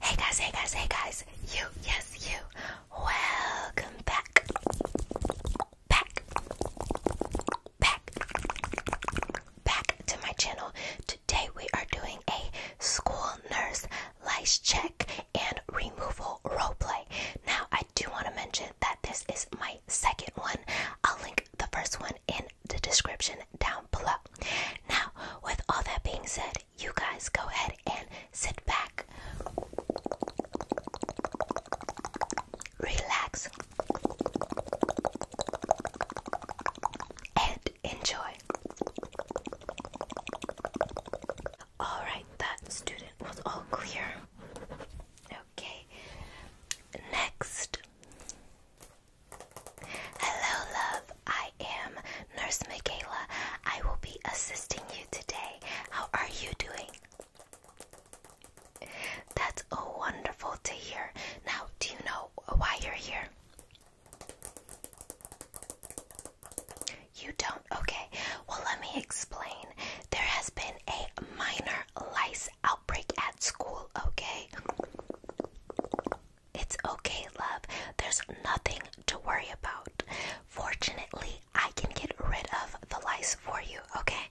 Hey guys, hey guys, hey guys. You, yes, you. Welcome back. Back. Back. Back to my channel. Today we are doing a school nurse lice check and removal roleplay. Now, I do want to mention that this is my second one. I'll link the first one in the description down below. Now, with all that being said, you guys go ahead and sit back, relax, and enjoy. Alright, that student was all clear. Okay, next. Hello, love. I am Nurse Michaela. I will be assisting you today. How are you doing? That's wonderful to hear. Now, do you know why you're here? You don't? Okay. Well, let me explain. There has been a minor lice outbreak at school, okay? It's okay, love. There's nothing to worry about. Fortunately, I can get rid of the lice for you, okay?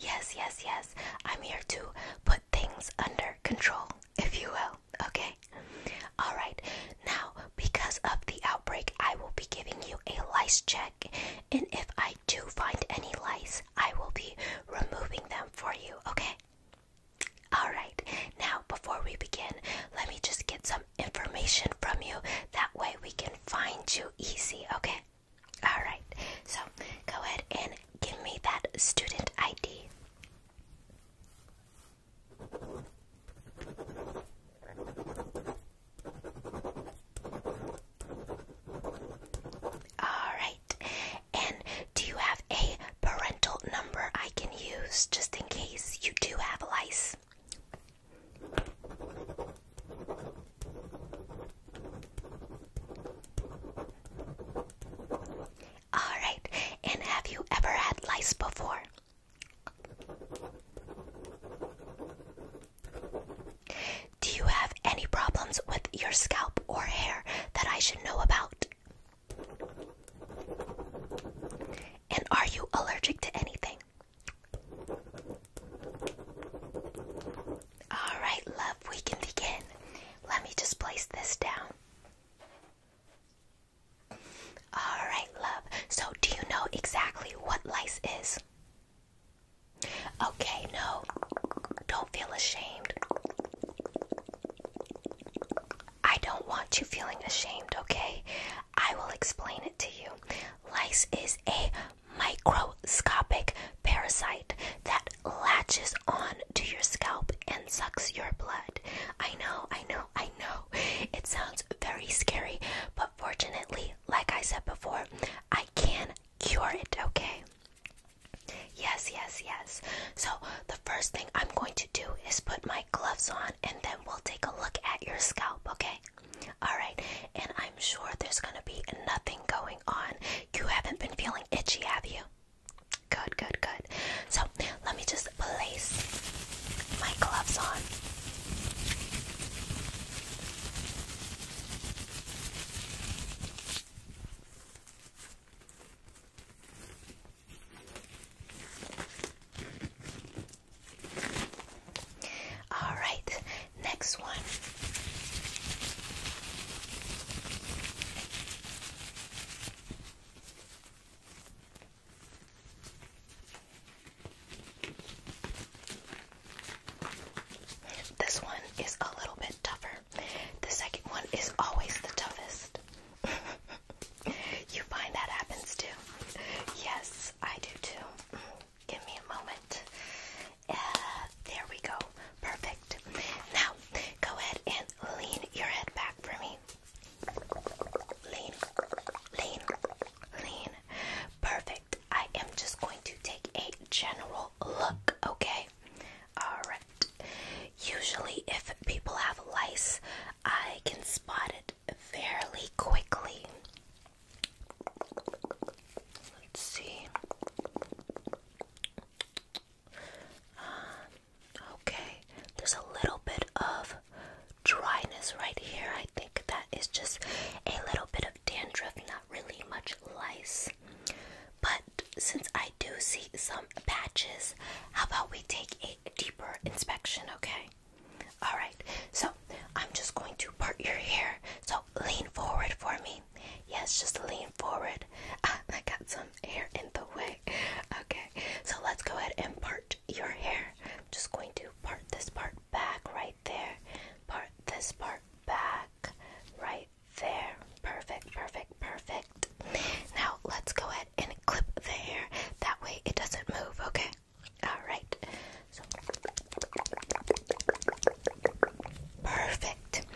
Yes, yes, yes. I'm here to put things under control, if you will, okay? Alright, now because of the outbreak, I will be giving you a lice check, and if I do find any lice, I will be removing them for you, okay? Alright, now before we begin, let me just get some information from you. That way we can find you easy, okay? Alright, so go ahead and give me that student ID. All right, and do you have a parental number I can use just in case you do have lice? All right. And have you ever had lice before? Do you have any problems with your scalp or hair that I should know about? And are you allergic to anything? All right, love, we can begin. Let me just place this down. All right, love. So, do you know exactly what lice is? Okay, no. Don't feel ashamed. I don't want you feeling ashamed, okay? I will explain it to you. Lice is a microscopic parasite that latches on to your scalp and sucks your blood. I know, I know, I know. It sounds very scary, but fortunately, like I said before, I can cure it, okay? Yes, yes, yes. So, the first thing I'm going to do is put my gloves on and then we'll take a look at your scalp, okay? Alright, and I'm sure there's gonna be nothing going on. You haven't been feeling itchy, have you? Good, good, good. So, let me just place my gloves on. All right, next one. This one is a little bit tougher. The second one is always the toughest. you find that happens too? Yes, I do too. Give me a moment. Uh, there we go. Perfect. Now, go ahead and lean your head back for me. Lean, lean, lean. Perfect. I am just going to take a general look, okay? Alright. Usually, if people have lice, I can spot it fairly quickly. Let's see. Uh, okay, there's a little bit of dryness right here. I think that is just a little bit of dandruff, not really much lice. But since I do see some patches, how about we take a deeper inspection, okay? All right. So, I'm just going to part your hair. So, lean forward for me. Yes, just lean forward. I got some hair in the way. Okay. So, let's go ahead and part your hair. I'm just going to part this part back right there. Part this part back right there. Perfect, perfect, perfect. Now, let's go ahead and clip the hair. That way it doesn't move, okay? Alright. perfect.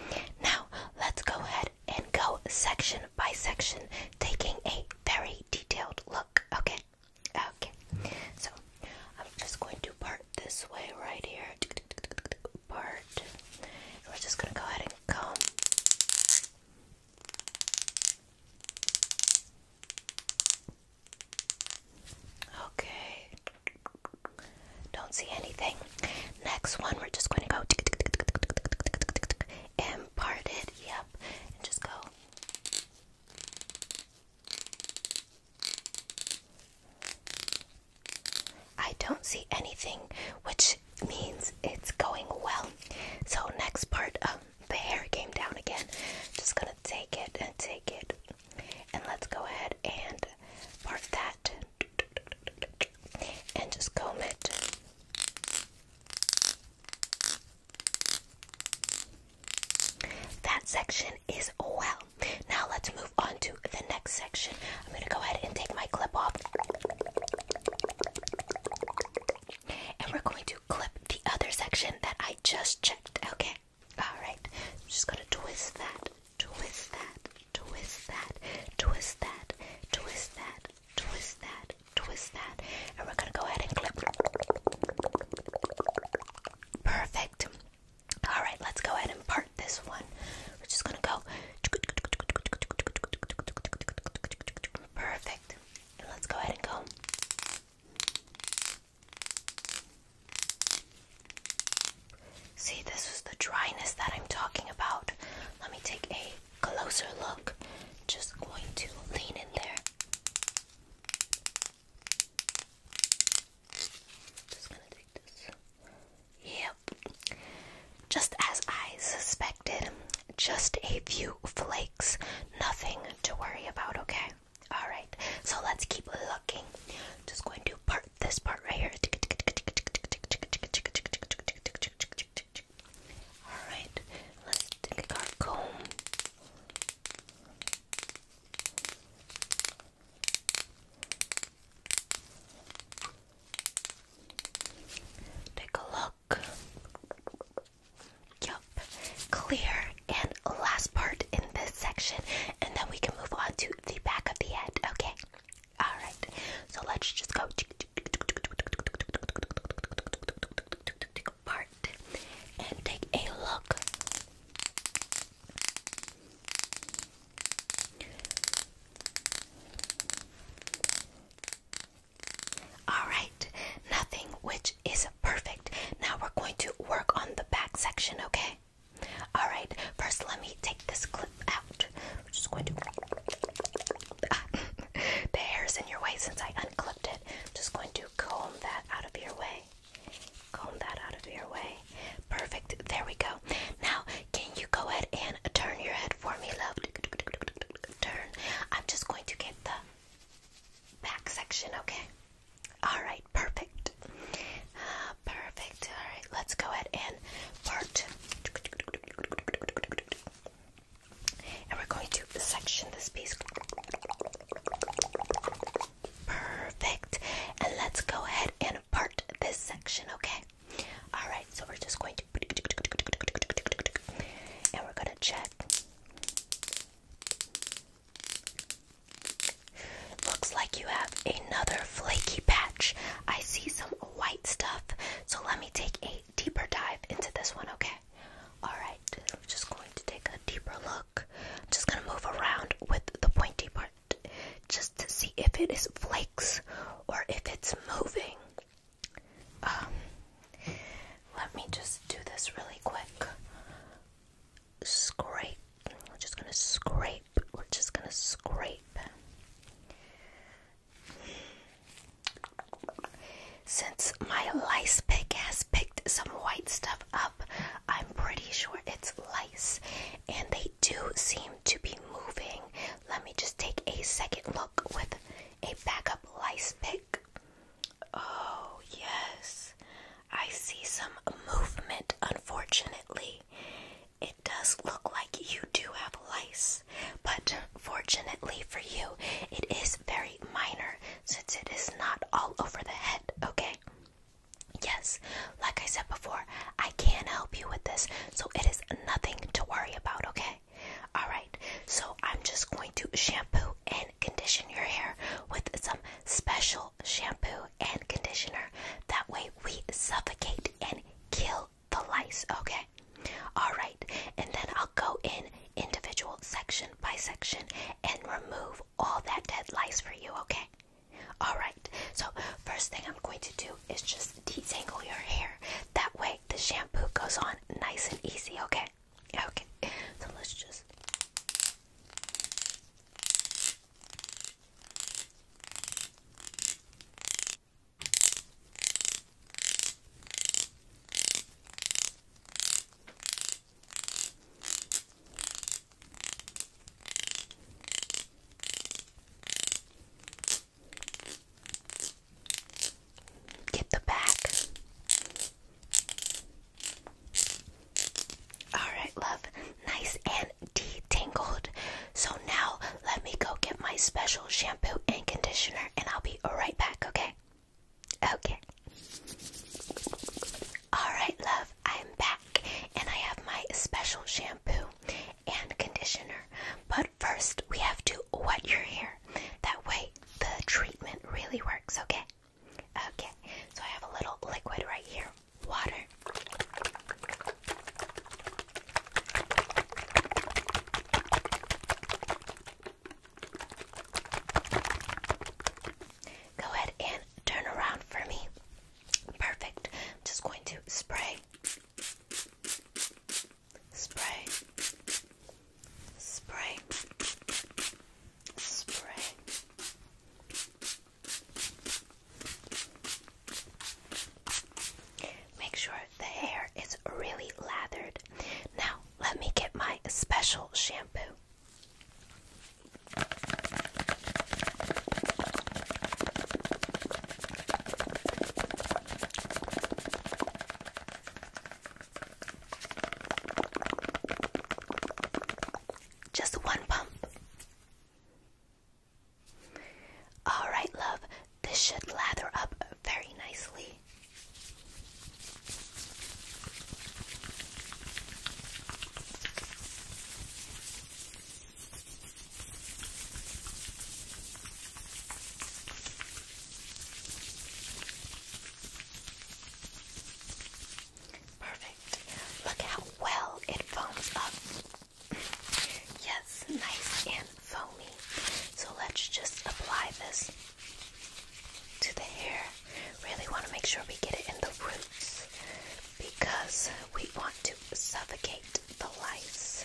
Now let's go ahead and go section by section, taking a very detailed look, okay? Okay. So I'm just going to part this way right here. Part. we're just gonna go ahead and comb. Okay. Don't see anything. Next one, we're just going to go and part it. Yep. And just go. I don't see anything, which means it's going well. So, next part, um, the hair came down again. Just gonna take it and take it, and let's go ahead and part that and just comb it. That section is well. Now, let's move on to the next section. I'm gonna go ahead and take my clip off. And we're going to clip the other section that I just checked. Okay. Alright. I'm just gonna twist that, twist that, twist that, twist that, twist that, twist that, twist that. And we're gonna go ahead and clip. Perfect. Alright, let's go ahead and part this one. We're just gonna go Perfect. let's go ahead and go. See, this was the dryness that I'm talking about. Let me take a closer look. Just going to lean in there. Just gonna take this. Yep. Just as I suspected. Just a few flakes. Nothing to worry about, okay? Alright, so let's keep looking. Just going to part this part right here. Alright, let's Take a look. Yup, clear. And last part in this section, and then we can move on to the back of the head, okay? Alright, so let's just go part and take a look. All right, nothing which is perfect. Now we're going to work on the back section, okay? All right, first let me take this clip out. just going to. the hair's in your way since I unclipped it. am just going to comb that out of your way. Comb that out of your way. Perfect. There we go. Now, can you go ahead and turn your head? for me, love. Turn. I'm just going to get the back section, okay? Alright, perfect. perfect. Alright, let's go ahead and part. And we're going to section this piece. Perfect. And let's go ahead and part this section, okay? All right, so we're just going to and we're gonna check. Looks like you have another flaky patch. I see some white stuff, so let me take a deeper dive into this one, okay? Alright, I'm just going to take a deeper look. just gonna move around with the pointy part just to see if it is flakes or if it's moving. Um, let me just do this really quick. Scrape. We're just gonna scrape. We're just gonna scrape. Since my lice pick has picked some white stuff up, I'm pretty sure it's lice, and they do seem to be moving. Let me just take a second look with a backup lice pick. Oh, yes. I see some movement, unfortunately. It does look like you do have lice, but fortunately for you, it is very minor since it is not all over the head, okay? Yes, like I said before, I can help you with this, so it is nothing to worry about, okay? All right. So I'm just going to shampoo and condition your hair with some special shampoo and conditioner. That way we suffocate and kill the lice. Okay. All right. And then I'll go in individual section by section and remove all that dead lice for you. Okay. All right. So first thing I'm going to do is just detangle your hair. That way the shampoo goes on nice and easy, okay? Okay, so let's just. Get the back. Alright, love. Nice and detangled. So now let me go get my special shampoo and conditioner and I'll be right back, okay? Okay. Alright, love. I'm back and I have my special shampoo and conditioner. But first, we have to what wet your hair. That way, the treatment really works, okay? Okay, so I have a little liquid right here water. Go ahead and turn around for me. Perfect. just going to spray spray, spray, spray. Make sure the hair is really lathered. Now, let me get my special shampoo. Just one pump. All right, love, this should lather up very nicely. Perfect. Look how well it foams up. yes, nice and foamy. So let's just apply this to the hair. Really want to make sure we get it in the roots because we want to suffocate the lice.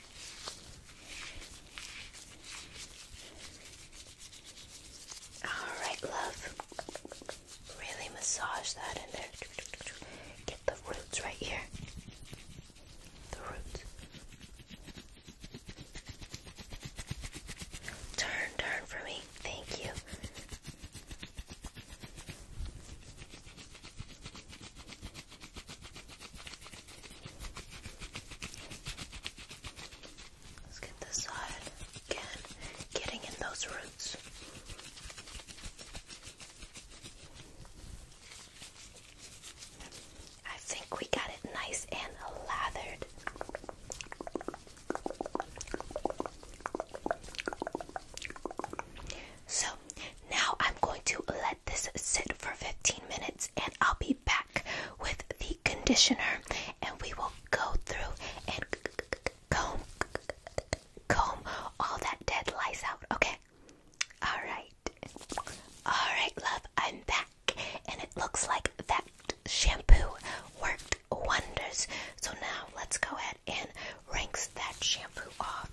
Alright, love. Really massage that in there. Get the roots right here. The roots. Turn, turn for me. Thank you. Let's get this side again, getting in those roots. I think we got it nice and lathered. So now I'm going to let this sit for 15 minutes and I'll be back with the conditioner and we will go through and comb comb all that dead lice out, okay? All right. All right, love, I'm back and it looks like that shampoo worked wonders. So now let's go ahead and rinse that shampoo off.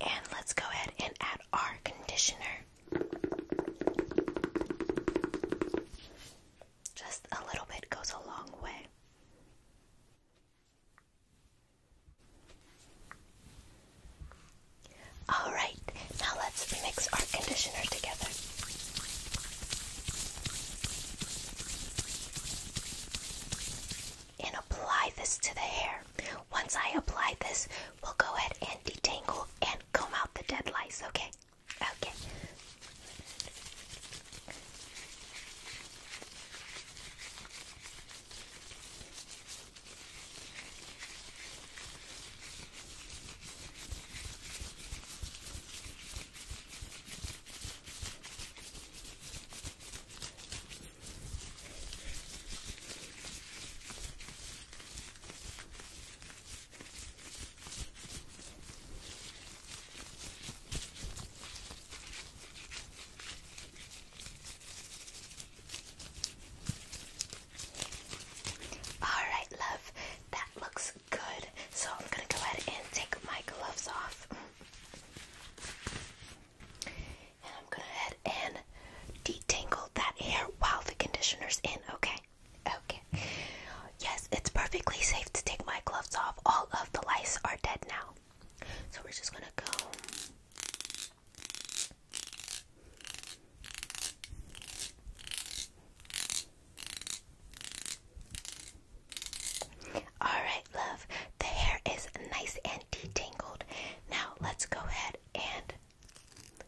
And let's go ahead and add our conditioner. Just a little bit goes a long way. All right, now let's mix our conditioner together and apply this to the hair. Once I apply this, we'll go ahead and detangle and comb out the dead lice, okay? Okay. All right, love, that looks Good. So I'm gonna go ahead and take my gloves off. And I'm gonna head and detangle that hair while the conditioner's in, okay? Okay. Yes, it's perfectly safe to take my gloves off. All of the lice are dead now. So we're just gonna go. Alright, love, the hair is nice and detangled. Now let's go ahead and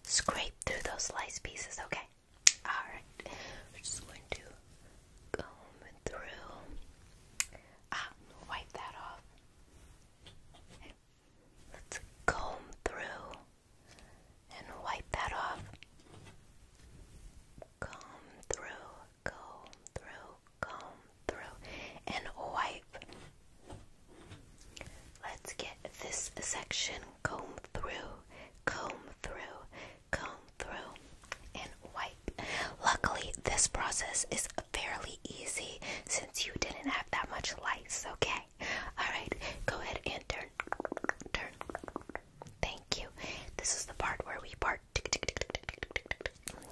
scrape through those slice pieces, okay? Alright, we're just going to comb through. Ah, wipe that off. Let's comb through and wipe that off. Comb through, comb through, comb through, and wipe. Let's get this section comb through, comb through, comb through, and wipe. Luckily, this process is fairly easy since you didn't have that much lights, okay? Alright, go ahead and turn turn. Thank you. This is the part where we part.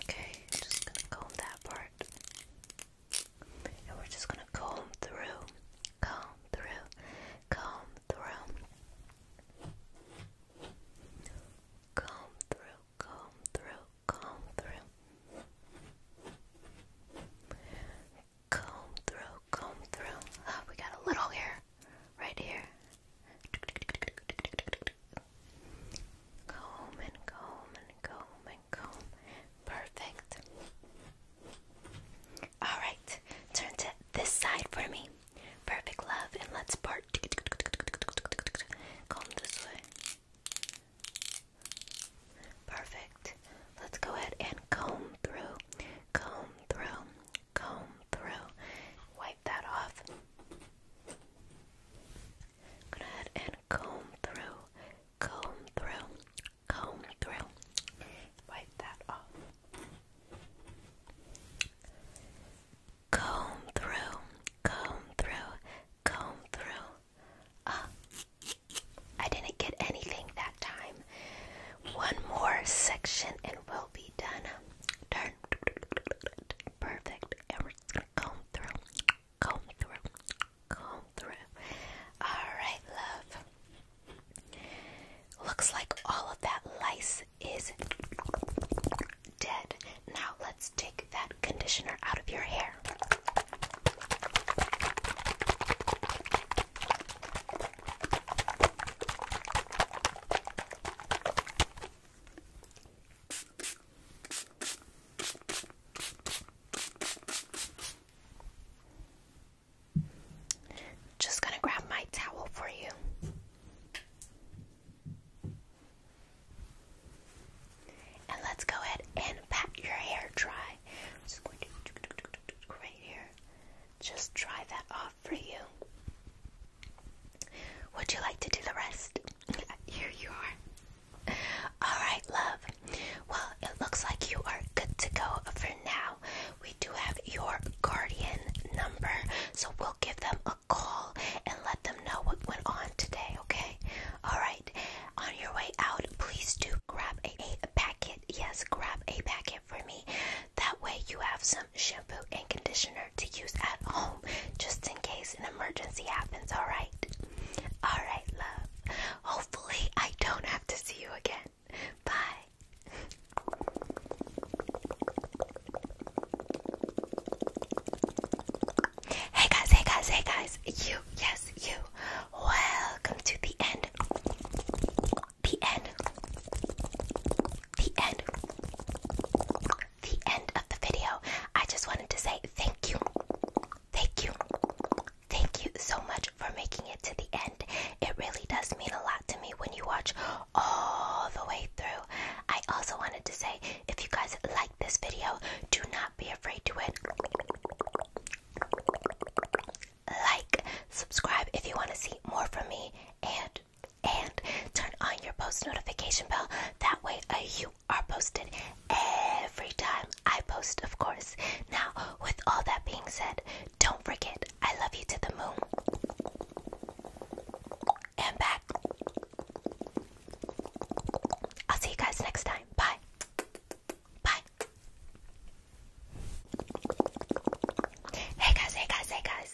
Okay, just gonna comb that part. And we're just gonna comb through, comb through, comb through. Comb through, comb through, comb through comb through, comb through. Oh, we got a little here, right here. Comb and comb comb Perfect. Alright, turn to this side for me. Perfect, love, and let's part. Comb this way. Perfect. Let's go ahead and comb through, comb through comb through, wipe that off. Go ahead and comb through, comb through, comb through, wipe that off. Comb through, comb through, comb through. Ah, I didn't get anything that time. One more section and we'll be done. Perfect. And we're gonna comb through. Comb through. Comb through. Alright, love. Looks like all of that lice is dead. Now let's take that conditioner out of your hair. Just going to grab my towel for you. And let's go ahead and pat your hair dry. right here. Just dry that off for you. Would you like to do the rest? Here you are. Alright, love. Well, it looks like you are good to go for now. We do have your guardian number, so we'll give them a call and let them know what went on today, okay? Alright, on your way out, please do grab a packet. Yes, grab a packet for me. That way you have some shampoo and conditioner to use at home just in case an emergency happens, alright? Alright, love. Hopefully, I don't have to see you again. Bye. Hey guys, hey guys, hey guys. You, yes, you. Welcome to the end the end. The end. The end of the video. I just wanted to say thank you. Thank you. Thank you so much for making it to the end. It really does mean a lot to me when you watch all the way through. I also wanted to say if you guys like this video, do not be afraid to it. Like, subscribe if you want to see more from me, and and turn on your post notification bell. That way, uh, you are posted every time I post, of course. Now, with all that being said, don't forget I love you to the moon and back. I'll see you guys next time. Bye. Bye. Hey guys, hey guys, hey guys.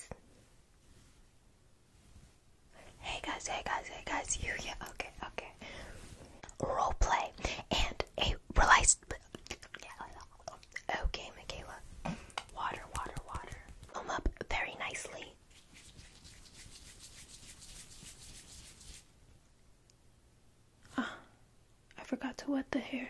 Hey guys, hey guys, hey guys, you yeah, okay, okay. Role play and a realized Okay, oh, Michaela. Water, water, water. Foam up very nicely. Ah, I forgot to wet the hair.